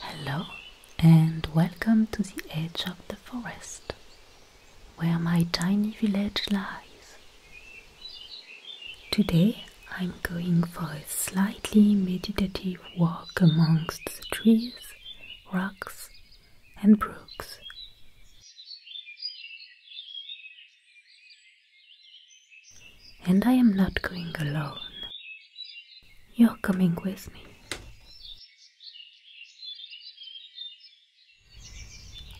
Hello, and welcome to the edge of the forest where my tiny village lies. Today I'm going for a slightly meditative walk amongst the trees, rocks, and brooks. And I am not going alone. You're coming with me.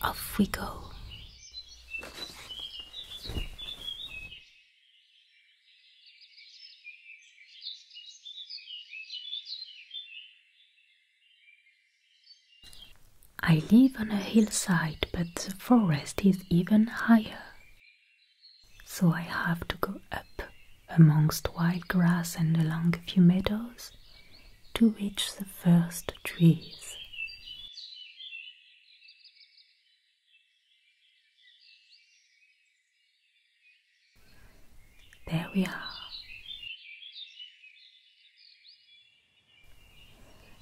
Off we go. I live on a hillside, but the forest is even higher. So I have to go up amongst wild grass and along a few meadows to reach the first trees. There we are.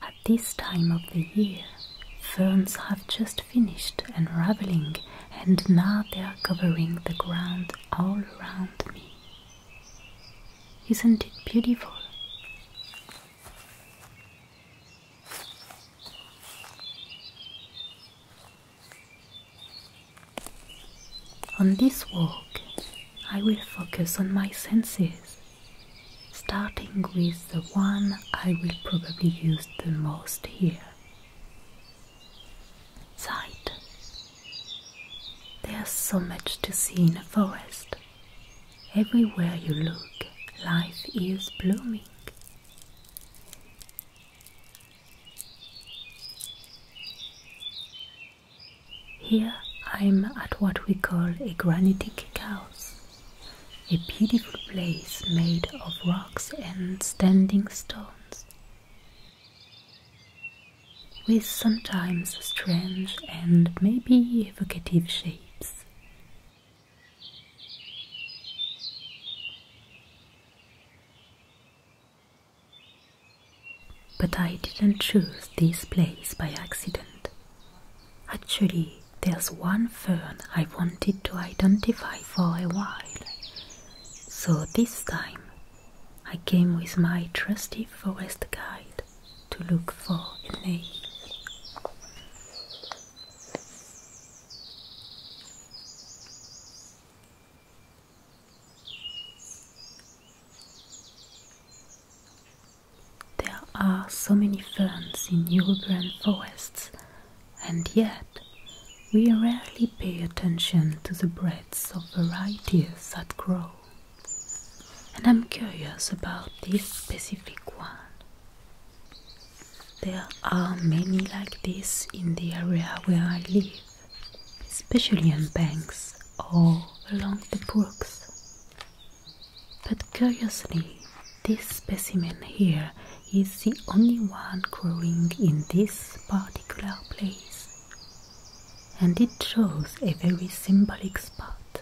At this time of the year, ferns have just finished unraveling and now they are covering the ground all around me. Isn't it beautiful? On this walk, I will focus on my senses, starting with the one I will probably use the most here sight. There's so much to see in a forest. Everywhere you look, life is blooming. Here I'm at what we call a granitic house, a beautiful place made of rocks and standing stones, with sometimes strange and maybe evocative shapes. But I didn't choose this place by accident. Actually, there's one fern I wanted to identify for a while. So this time, I came with my trusty forest guide to look for a name. There are so many ferns in European forests, and yet we rarely pay attention to the breadth of varieties that grow. And I'm curious about this specific one. There are many like this in the area where I live, especially on banks or along the brooks. But curiously, this specimen here is the only one growing in this particular place, and it shows a very symbolic spot.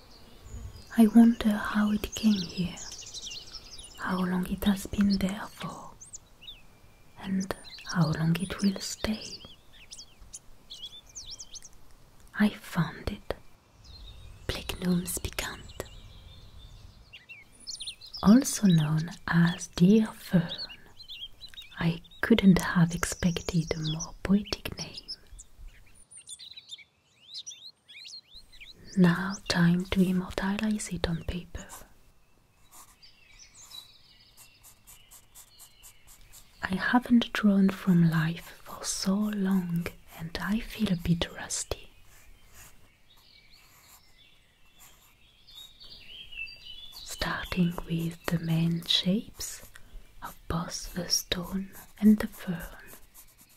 I wonder how it came here, how long it has been there for, and how long it will stay. I found it. Plechnums piquant. Also known as deer fern. I couldn't have expected a more poetic name. Now, time to immortalize it on paper. I haven't drawn from life for so long and I feel a bit rusty. Starting with the main shapes of both the stone and the fern.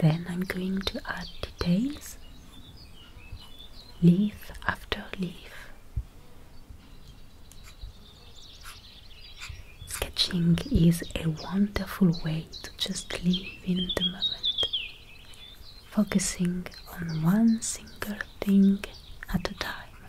Then I'm going to add details, leaf after leaf, Sketching is a wonderful way to just live in the moment, focusing on one single thing at a time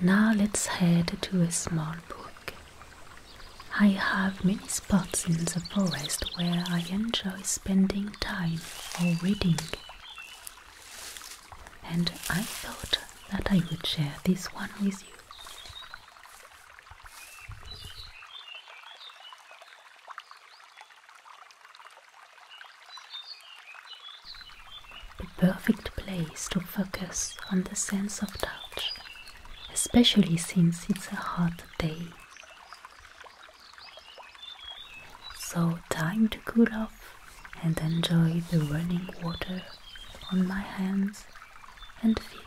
Now let's head to a small book. I have many spots in the forest where I enjoy spending time or reading, and I thought that I would share this one with you. The perfect place to focus on the sense of touch, especially since it's a hot day. So, time to cool off and enjoy the running water on my hands and feet.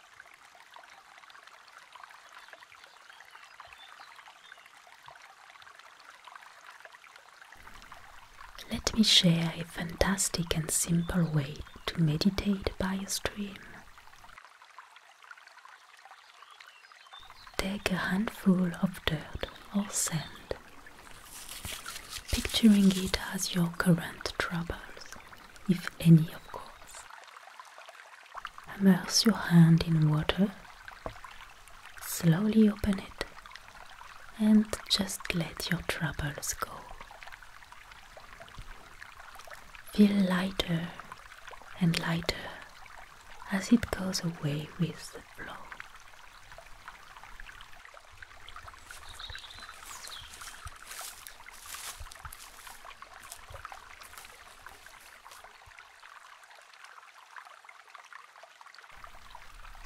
Let me share a fantastic and simple way to meditate by a stream. Take a handful of dirt or sand, picturing it as your current troubles, if any of course. Immerse your hand in water, slowly open it, and just let your troubles go. Feel lighter and lighter as it goes away with the flow.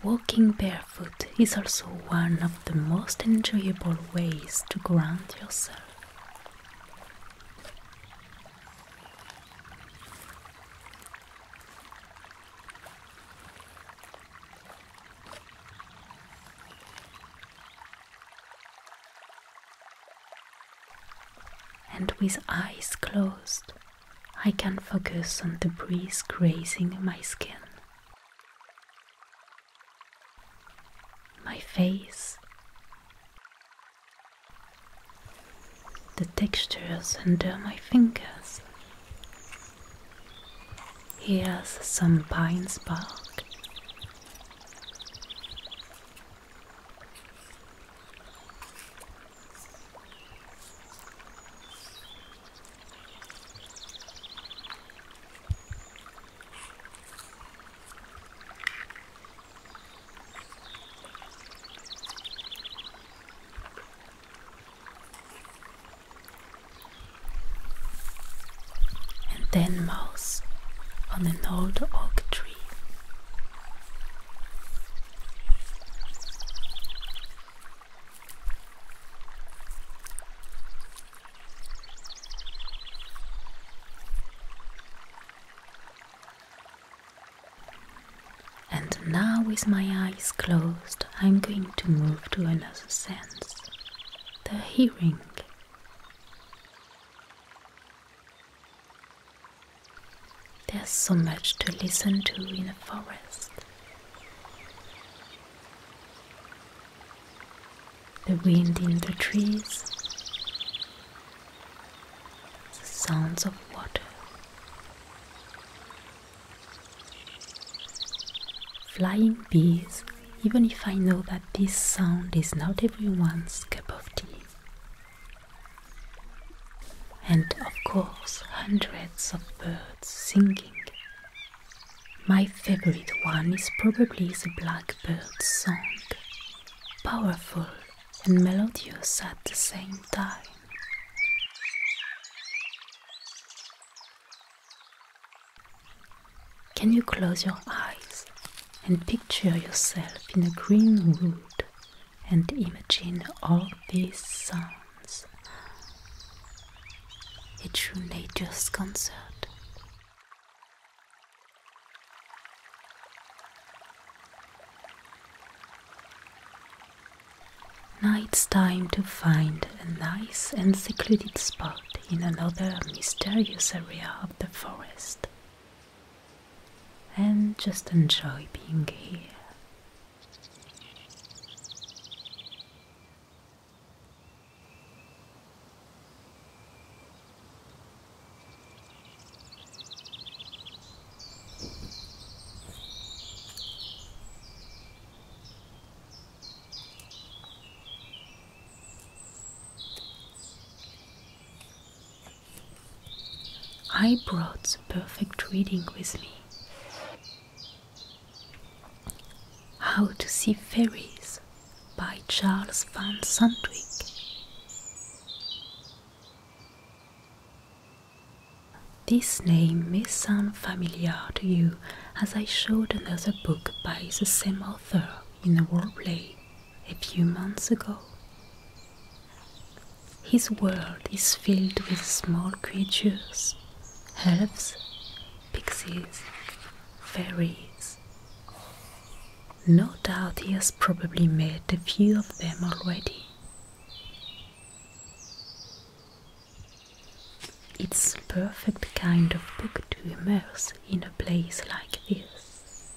Walking barefoot is also one of the most enjoyable ways to ground yourself. And with eyes closed, I can focus on the breeze grazing my skin. My face, the textures under my fingers. Here's some pine bark. And then mouse on an old oak tree. And now, with my eyes closed, I'm going to move to another sense the hearing. There's so much to listen to in a forest. The wind in the trees, the sounds of water, flying bees, even if I know that this sound is not everyone's cup of tea and of course hundreds of birds singing. My favorite one is probably the blackbird's song, powerful and melodious at the same time. Can you close your eyes and picture yourself in a green wood and imagine all these sounds. A true nature's concert. Now it's time to find a nice and secluded spot in another mysterious area of the forest and just enjoy being here. I brought the perfect reading with me. How to See Fairies by Charles van Sandwyk. This name may sound familiar to you as I showed another book by the same author in a roleplay a few months ago. His world is filled with small creatures, elves, pixies, fairies. No doubt he has probably met a few of them already. It's perfect kind of book to immerse in a place like this.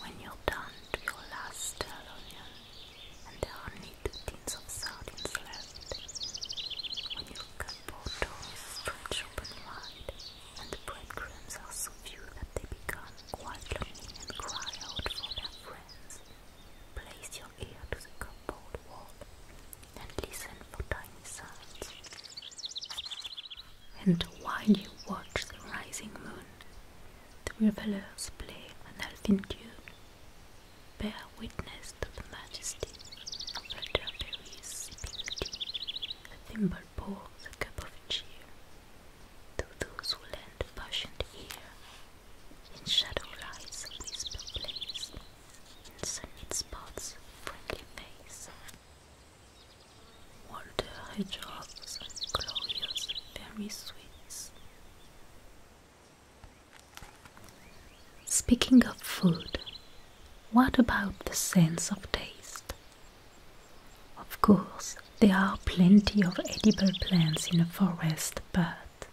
When you're done, do your last stirl and there are only two tins of sardines left. When you've cut both doors, stretch wide, and breadcrumbs are so few that they become quite lonely and cry out for their friends. Place your ear to the cupboard wall and listen for tiny sounds. And while you watch the rising moon, the revelers play an elfin tune, bear witness to the majesty of elderberries sipping tea, the thimble pours a cup of cheer to those who lend patient ear. In shadow lies a whisper place, in sunlit spots friendly face. Walter Hedgehog's glorious fairy sweets. Speaking of food, what about the sense of taste? Of course, there are plenty of edible plants in a forest, but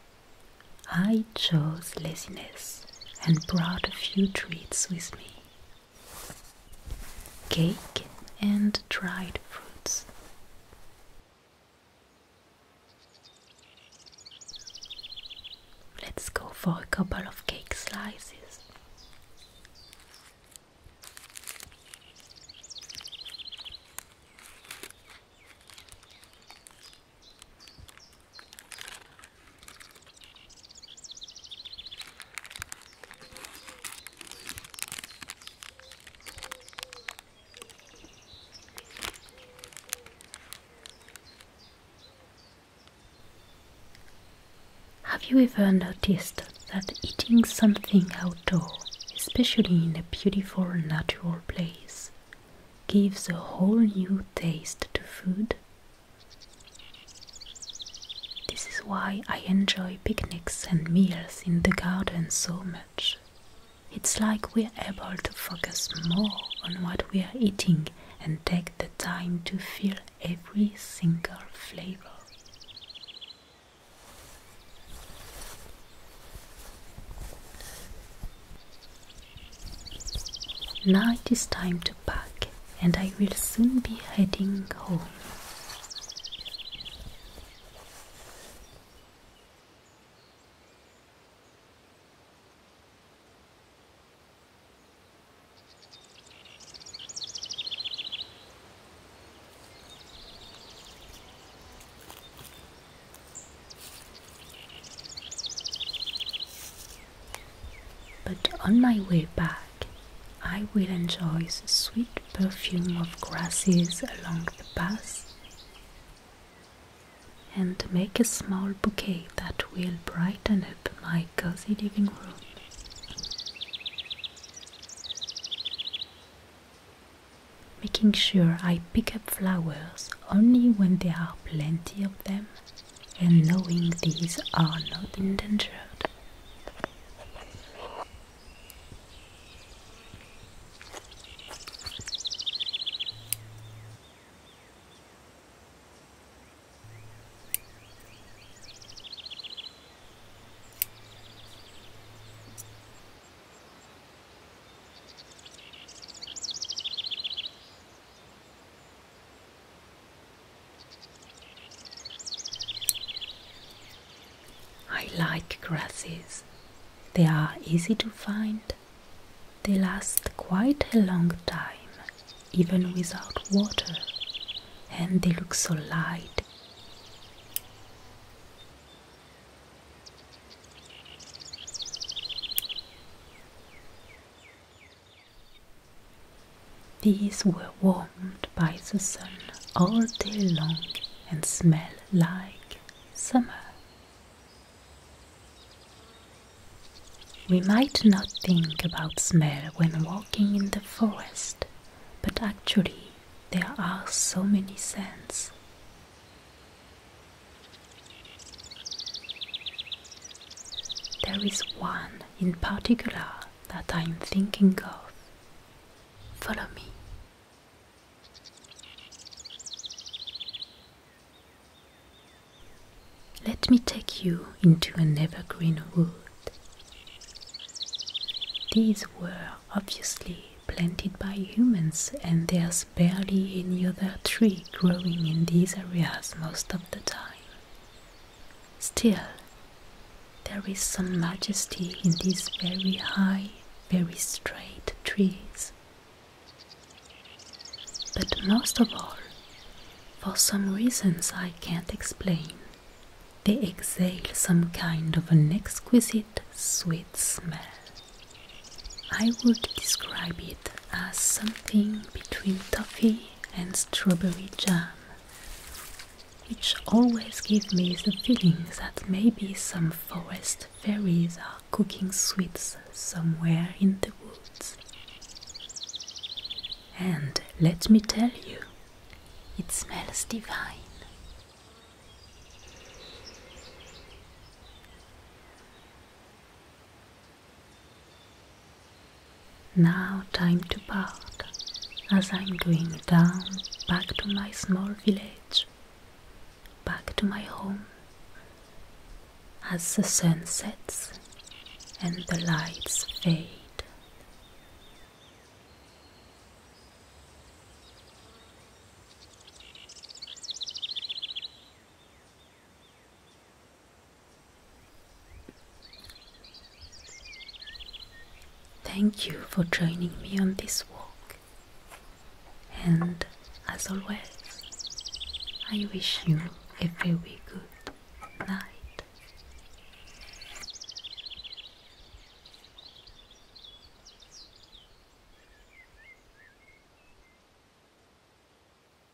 I chose laziness and brought a few treats with me cake and dried fruits. Let's go for a couple of cake slices. Have you ever noticed that eating something outdoor, especially in a beautiful natural place, gives a whole new taste to food this is why I enjoy picnics and meals in the garden so much. It's like we're able to focus more on what we are eating and take the time to feel every single flavor. Now it is time to pack, and I will soon be heading home. But on my way back, I will enjoy the sweet perfume of grasses along the path and make a small bouquet that will brighten up my cozy living room. Making sure I pick up flowers only when there are plenty of them and knowing these are not endangered. I like grasses. They are easy to find. They last quite a long time, even without water, and they look so light. These were warmed by the sun all day long and smell like summer. We might not think about smell when walking in the forest, but actually there are so many scents. There is one in particular that I'm thinking of. Follow me. Let me take you into an evergreen wood. These were obviously planted by humans, and there's barely any other tree growing in these areas most of the time. Still, there is some majesty in these very high, very straight trees. But most of all, for some reasons I can't explain, they exhale some kind of an exquisite sweet smell. I would describe it as something between toffee and strawberry jam, which always give me the feeling that maybe some forest fairies are cooking sweets somewhere in the woods. And let me tell you, it smells divine. Now, time to part, as I'm going down back to my small village, back to my home. As the sun sets and the lights fade. Thank you for joining me on this walk, and as always, I wish you a very good night.